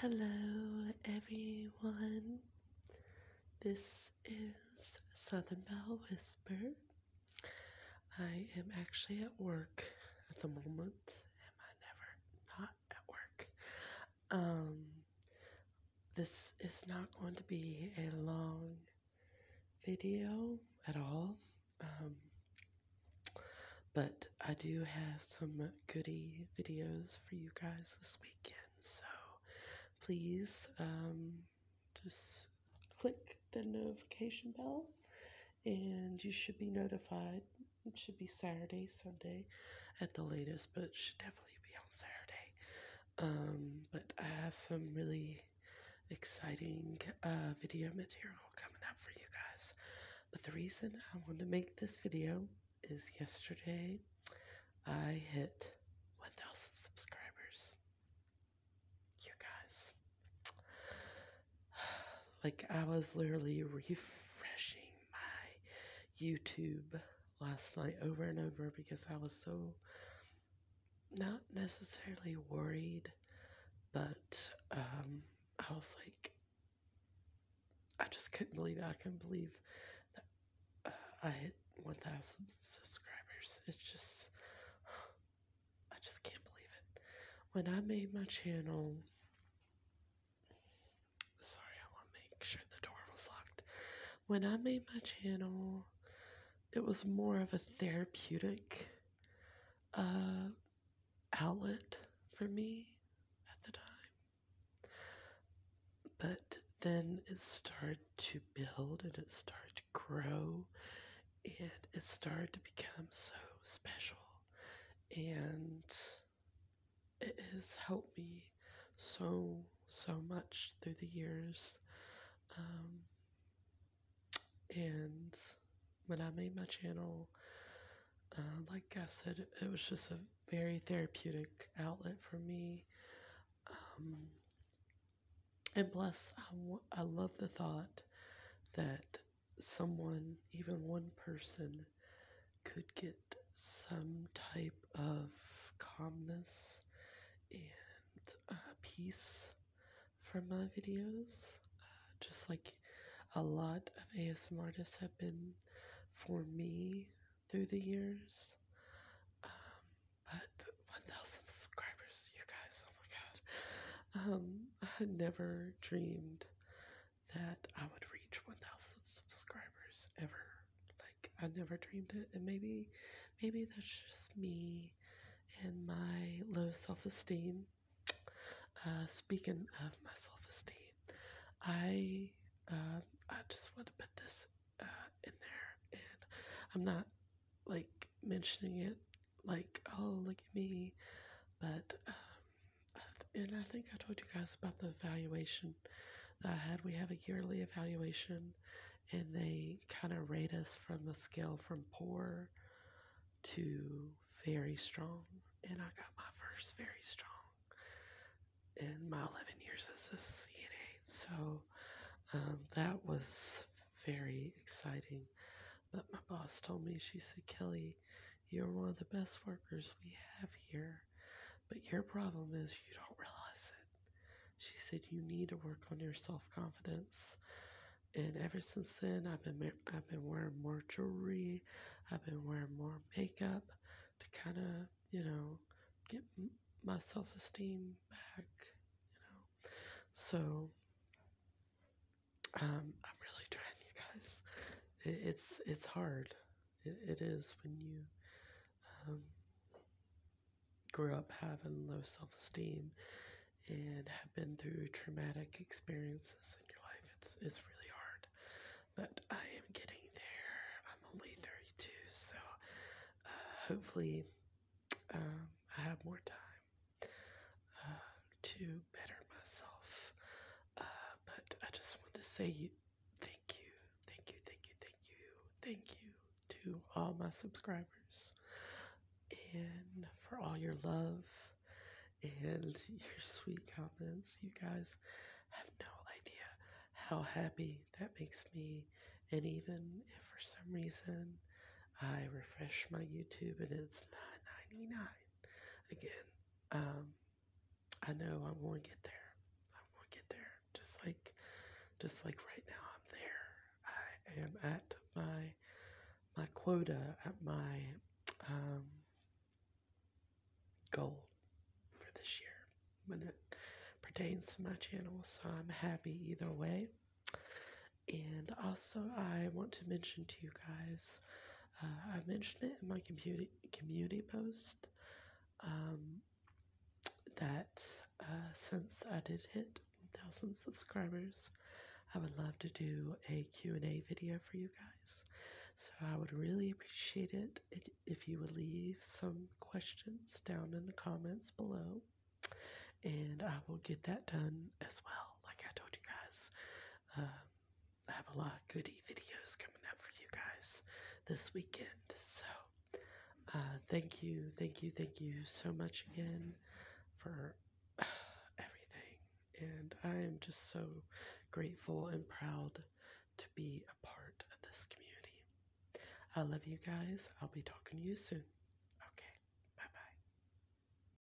Hello, everyone. This is Southern Bell Whisper. I am actually at work at the moment. Am I never not at work? Um, this is not going to be a long video at all. Um, but I do have some goodie videos for you guys this weekend, so please um, just click the notification bell and you should be notified. It should be Saturday, Sunday at the latest, but it should definitely be on Saturday. Um, but I have some really exciting uh, video material coming up for you guys. But the reason I want to make this video is yesterday I hit 1,000 subscribers. You guys. Like, I was literally refreshing my YouTube last night over and over because I was so not necessarily worried, but um, I was like, I just couldn't believe it. I couldn't believe that uh, I hit 1,000 subscribers. It's just, I just can't believe it. When I made my channel, sorry, I want to make sure the door was locked. When I made my channel, it was more of a therapeutic uh, outlet for me at the time. But then it started to build and it started to grow and it started to become so special. And it has helped me so, so much through the years. Um, and when I made my channel, uh, like I said, it was just a very therapeutic outlet for me. Um, and plus, I, I love the thought that someone, even one person, could get some type of calmness and uh, peace for my videos. Uh, just like a lot of ASMR artists have been for me through the years. Um, but 1,000 subscribers, you guys, oh my god. Um, I had never dreamed that I would reach 1,000 subscribers ever. Like, I never dreamed it. And maybe Maybe that's just me and my low self esteem. Uh, speaking of my self esteem, I uh, I just want to put this uh, in there, and I'm not like mentioning it like oh look at me, but um, and I think I told you guys about the evaluation that I had. We have a yearly evaluation and they kind of rate us from a scale from poor to very strong. And I got my first very strong in my 11 years as a CNA. So um, that was very exciting. But my boss told me, she said, Kelly, you're one of the best workers we have here. But your problem is you don't realize it. She said, You need to work on your self confidence. And ever since then, I've been I've been wearing more jewelry, I've been wearing more makeup to kind of you know get my self esteem back, you know. So um, I'm really trying, you guys. it's it's hard it is when you um, grew up having low self esteem and have been through traumatic experiences in your life. It's, it's really hard. But I am getting there. I'm only 32, so uh, hopefully um, I have more time uh, to better myself. Uh, but I just want to say Thank you, thank you, thank you, thank you, thank you to all my subscribers and for all your love and your sweet comments. You guys have no idea how happy that makes me. And even if for some reason I refresh my YouTube and it's 9.99 again, um, I know I'm going to get there. I'm going to get there. Just like, just like right now, I'm there. I am at my my quota, at my um, goal for this year when it pertains to my channel. So I'm happy either way. And also, I want to mention to you guys. Uh, I mentioned it in my community community post um, that uh, since I did hit 1,000 subscribers, I would love to do a Q&A video for you guys. So I would really appreciate it if you would leave some questions down in the comments below. And I will get that done as well, like I told you guys. Um, I have a lot of goodie videos coming up for you guys this weekend. So, uh, thank you, thank you, thank you so much again for everything. And I am just so grateful and proud to be a part of this community. I love you guys. I'll be talking to you soon.